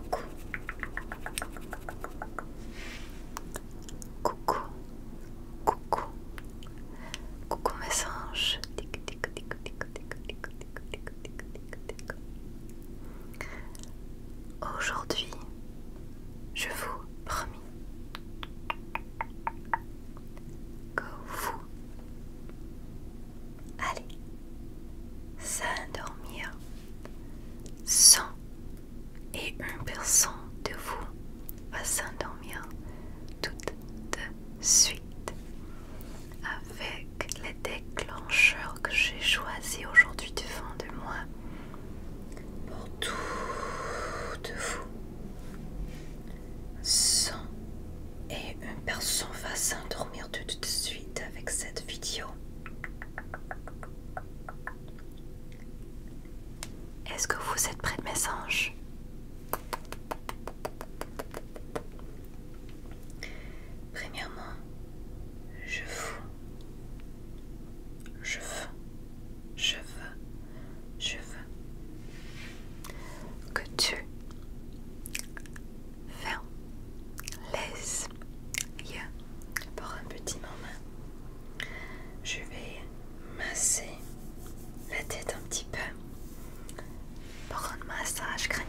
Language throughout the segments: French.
Coucou. Coucou. Coucou. Coucou mes anges. Aujourd'hui, je vous promis que vous Allez, s'endormir. 100 et une de vous va s'endormir tout de suite avec les déclencheurs que j'ai choisi aujourd'hui devant de moi pour tout de vous. 100 et une personne va s'endormir tout de suite avec cette vidéo. Est-ce que vous êtes près de mes anges Premièrement, je vous, je veux, je veux je veux que tu fermes laisse. pour un petit moment. Je vais masser la tête un petit peu pour un massage crânien.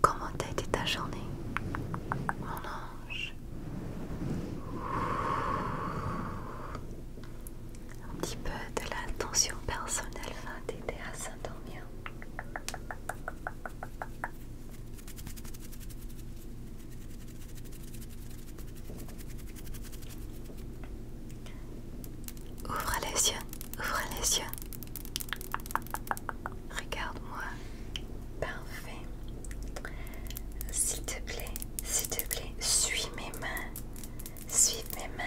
Comment a été ta journée, mon ange Un petit peu de l'attention personnelle va t'aider à s'endormir. Ouvre les yeux, ouvre les yeux. Regarde-moi. Parfait. S'il te plaît, s'il te plaît, suis mes mains. Suis mes mains.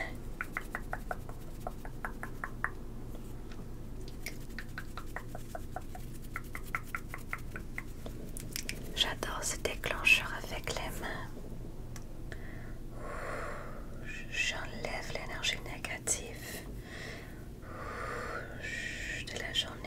J'adore ce déclencheur avec les mains. J'enlève l'énergie négative de la journée.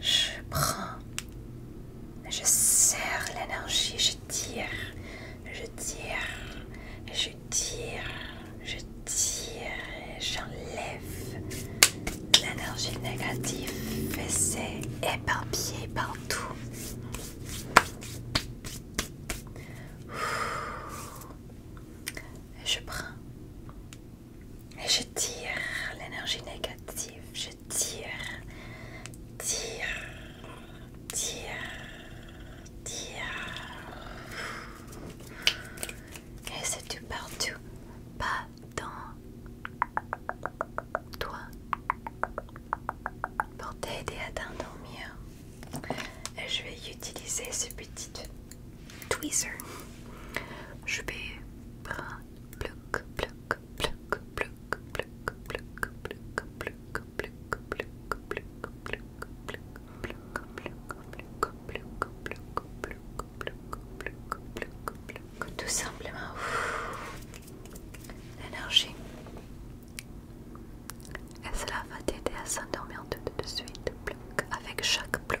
Je prends, je serre l'énergie, je tire je tire, je tire, je tire, j'enlève l'énergie négative et éparpillée éparpillé partout. je prends et je tire l'énergie négative, je tire, tire, Tiens, tiens. Et c'est tout partout, pas dans toi. Pour t'aider à t'endormir, je vais utiliser ce petit tweezer. Je vais prendre Bluc pluc Bluc pluc Bluc pluc pluck, tout simplement l'énergie. Et cela va t'aider à s'endormir tout de suite avec chaque bloc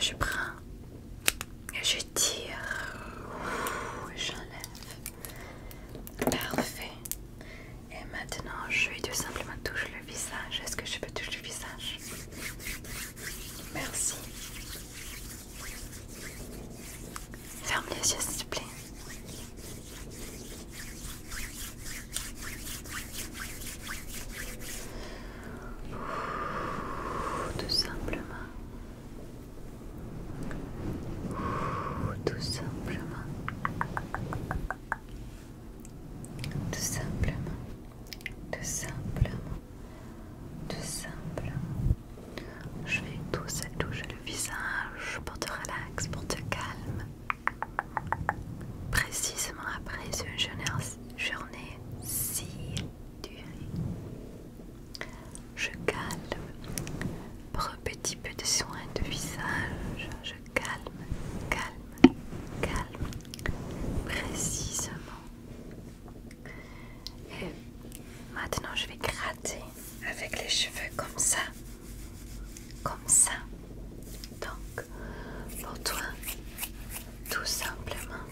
je prends, et je tire, j'enlève. Parfait. Et maintenant, je vais tout simplement toucher le visage. Est-ce que je peux toucher le visage Merci. Ferme les yeux, s'il te plaît. Tout simplement. Tout simplement. Tout simplement. Tout simplement. Tout simplement. Je vais tous toucher le visage pour te relax, pour te calmer Précisément après une journée si durée, je calme pour un petit peu de soin de visage. Je calme, calme, calme, précisément. Et maintenant, je vais gratter avec les cheveux comme ça, comme ça. Donc, pour toi, tout simplement,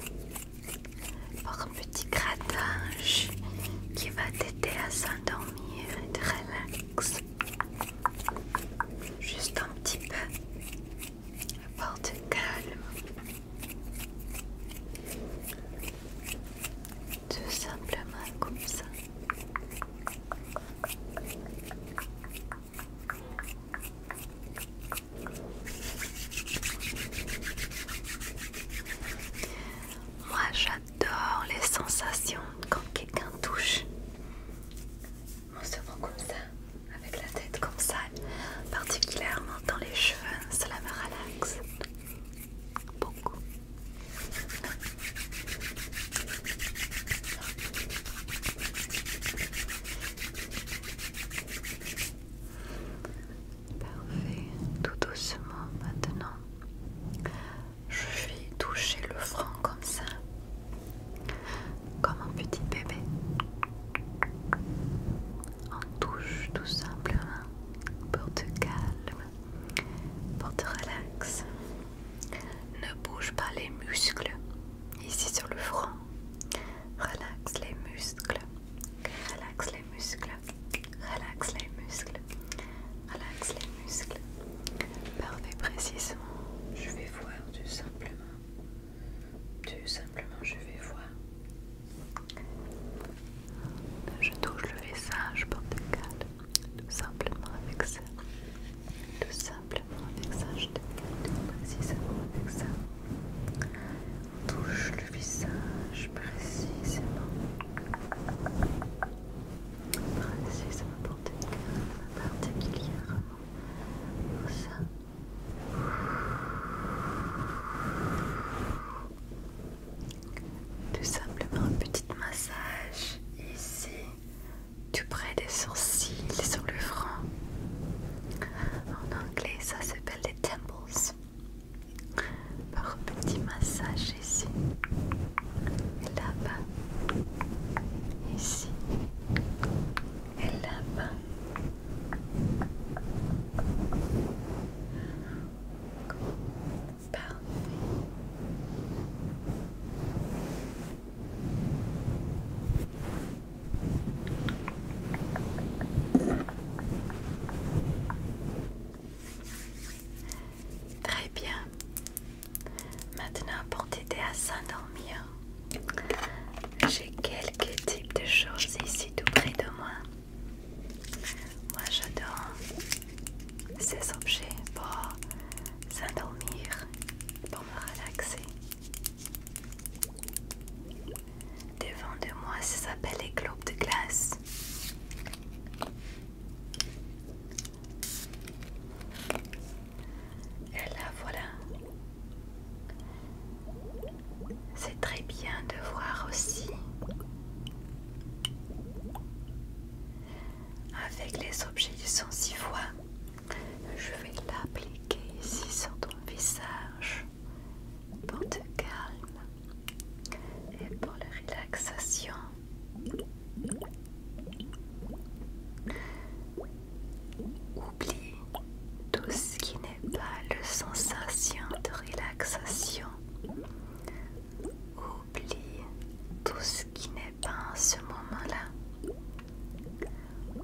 pour un petit grattage qui va t'aider à s'endormir et te relaxer. Juste un petit peu pour te calmer. Tout simplement comme ça. Moi j'adore les sensations quand quelqu'un touche mon cerveau comme ça, avec la tête comme ça, particulièrement dans les cheveux, cela me relaxe beaucoup. Parfait, tout doucement maintenant. Je vais toucher le front comme ça, comme un petit bébé. On touche tout simplement pour te calmer, pour te relaxer. Ne bouge pas les muscles, ici sur le front. Relaxe les muscles. Relaxe les muscles. Relaxe les muscles. Relaxe les muscles. Parfait, précisément. Je vais voir tout simplement. Tout simplement, je vais voir. Je touche le visage, porte calme. Tout simplement avec ça tout simplement avec ça, je te tout précisément avec ça. On touche le visage précisément. Précisément pour va particulièrement. ça. Tout simplement un petit massage ici tout près des sourcils sur le front. En anglais, ça s'appelle les temples. Par petit massage ici, et là-bas, ici, et là-bas. Parfait. Très bien. Maintenant, pour t'aider à s'endormir, j'ai quelques types de choses ici tout près de moi. Moi, j'adore ces objets pour s'endormir, pour me relaxer. Devant de moi, ça s'appelle les globes de glace. Et là, voilà. C'est très bien de voir aussi avec les objets du sens si fois je vais l'appliquer ici sur ton visage pour te calme et pour la relaxation. Oublie tout ce qui n'est pas le sensation de relaxation. Oublie tout ce qui n'est ce moment-là.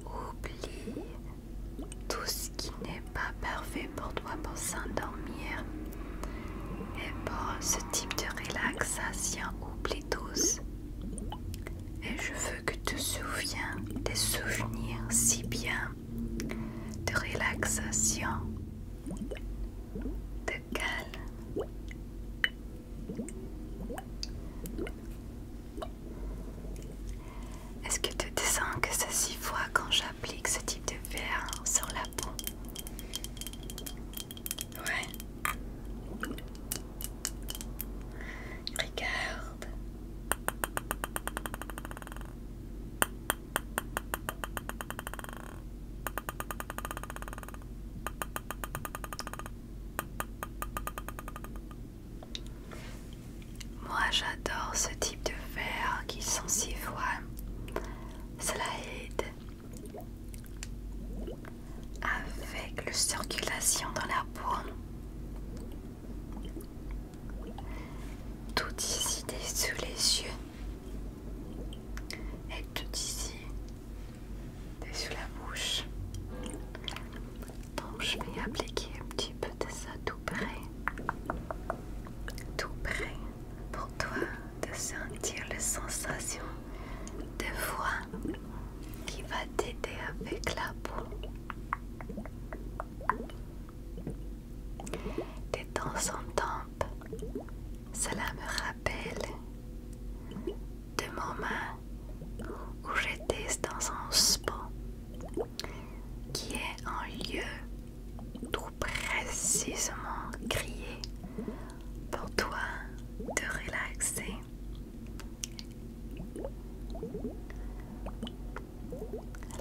Oublie tout ce qui n'est pas parfait pour toi pour s'endormir. Et pour ce type de relaxation, oublie tous. Et je veux que tu te souviennes des souvenirs si bien de relaxation, de calme, est-ce que tu te sens que ça s'y voit quand j'applique ce type de verre sur la peau Ouais. Regarde. Moi j'adore ce type de verre qui sent si voix. Cela aide avec la circulation dans la peau. Tout ici sous les yeux et tout ici dessus la bouche. Donc je vais appliquer un petit peu de ça tout près, tout près pour toi de sentir la sensation de voix qui va t'aider avec la peau. Des temps en temps, cela me rappelle de moment où j'étais dans un spa qui est un lieu tout précisément grillé pour toi de relaxer.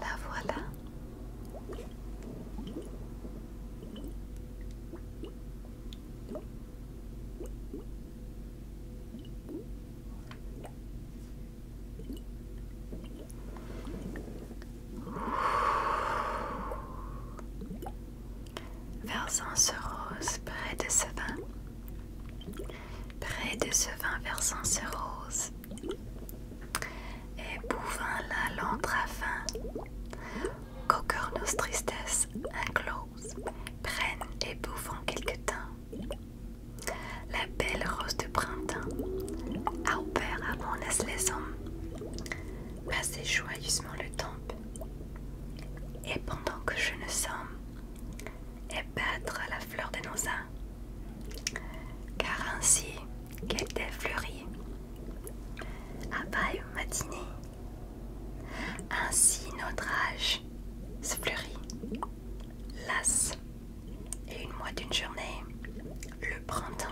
La voilà. Versant ce rose près de ce vin, près de ce vin versant ce rose, et bouvant la longue à qu'au cœur nos tristesses clos prennent et bouffent en quelque temps. La belle rose de printemps, Albert à mon passez joyeusement le temps. Et pendant que je ne somme, et battre la fleur de nos uns, car ainsi qu'elle est fleurie, à au matinée, ainsi notre âge se fleurit, lasse, et une mois d'une journée, le printemps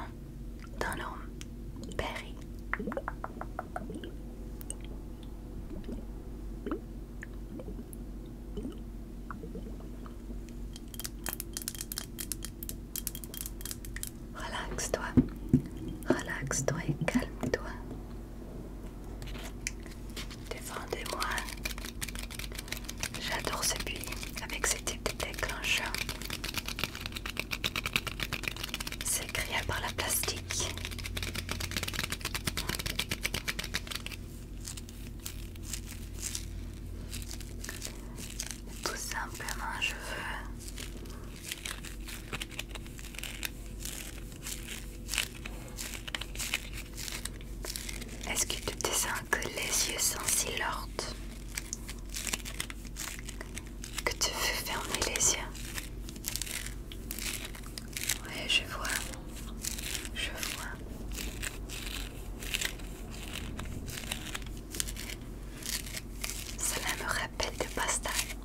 d'un homme périt. Relaxe-toi, relaxe-toi et calme-toi. Défendez-moi. J'adore ce buis avec ces types de déclencheurs. C'est créé par la plastique. Tout simplement, je veux est-ce que tu sens que les yeux sont si lourds que tu veux fermer les yeux Ouais, je vois. Je vois. Cela me rappelle de pasta.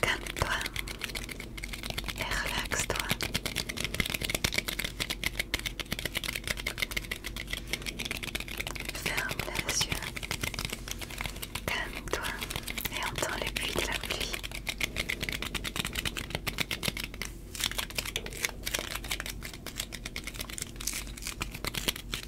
Calme-toi et relaxe-toi. Ferme les yeux. Calme-toi et entends les bruit de la pluie.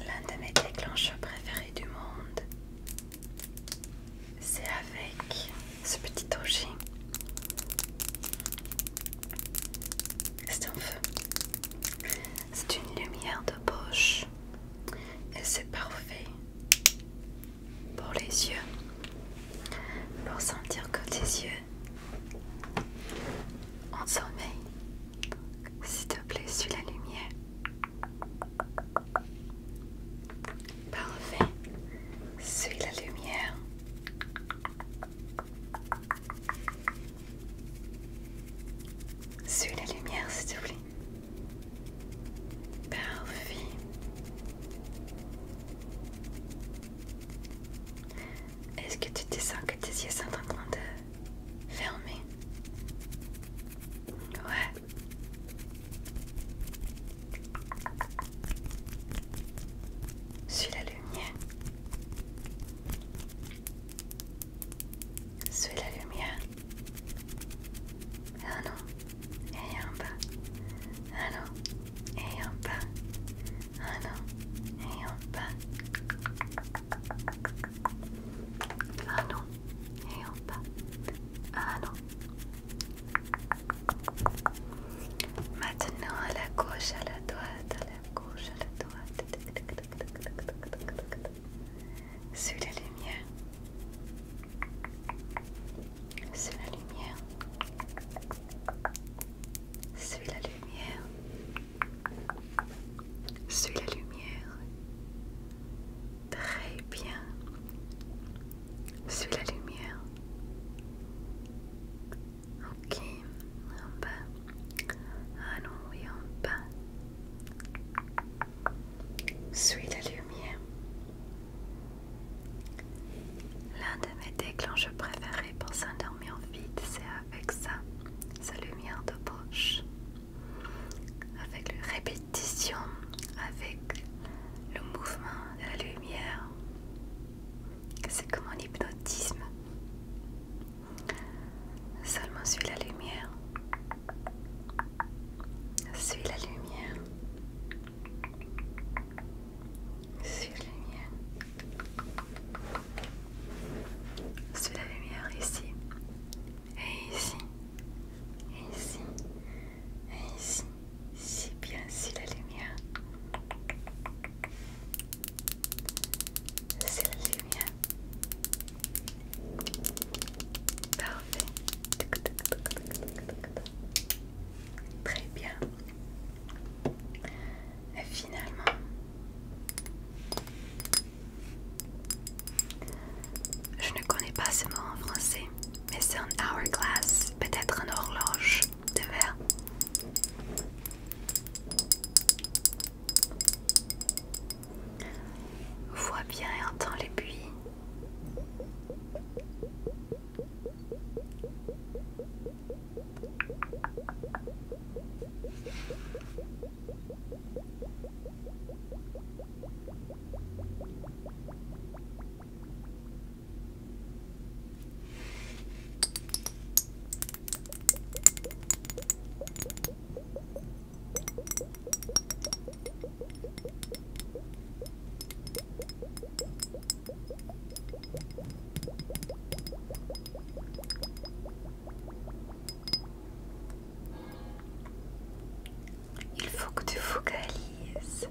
L'un de mes déclencheurs préférés du monde, c'est avec ce petit objet. C'est un feu. C'est une lumière de poche. Et c'est parfait pour les yeux. Pour sentir que tes yeux en sommeil. S'il te plaît, suis la lumière. Parfait. Suis la lumière. Suis la lumière, s'il te plaît. Parfait. Est-ce que tu te sens que tes yeux sont en train de fermer Ouais. Suis la lumière. Suis la lumière. Un non, et un pas. et un pas. et un pas. Maintenant à la gauche, à la droite, à la gauche, à la droite. Suis la lumière. Suis la lumière. Suis la lumière. Suis la lumière. Très bien. Suis la lumière. Ok, en bas. Ah non, oui, en bas. Suis la lumière. L'un de mes déclencheurs préférés pour s'endormir vite, c'est avec ça, sa lumière de poche. Avec la répétition, avec le mouvement de la lumière, c'est comme un hypnotisme. Seulement suis la lumière. Suis la lumière. Suis la lumière. Suis la lumière ici. Et ici. Et ici. Et ici, c'est bien si la lumière. C'est la lumière. Parfait. Très bien. Et finalement, je ne connais pas ce mot en français mais c'est un hourglass, peut-être un horloge de verre. Vois bien et entends les buis. Il faut que tu focalises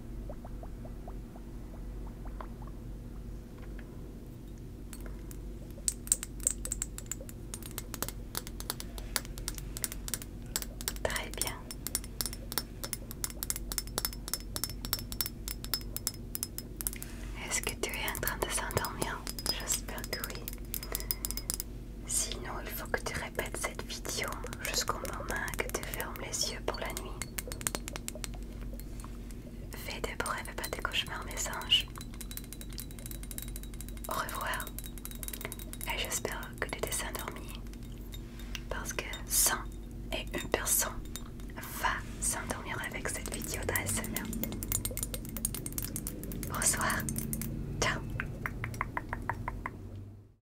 Très bien. Est-ce que tu es en train de s'endormir J'espère que oui. Sinon, il faut que tu répètes cette vidéo jusqu'au moment que tu fermes les yeux pour la nuit. Fais des brèves et pas des cauchemars, mes anges. Au revoir. Et j'espère que tu t'es endormi. Parce que 100 et une personne va s'endormir avec cette vidéo d'ASMR. Bonsoir. Ciao.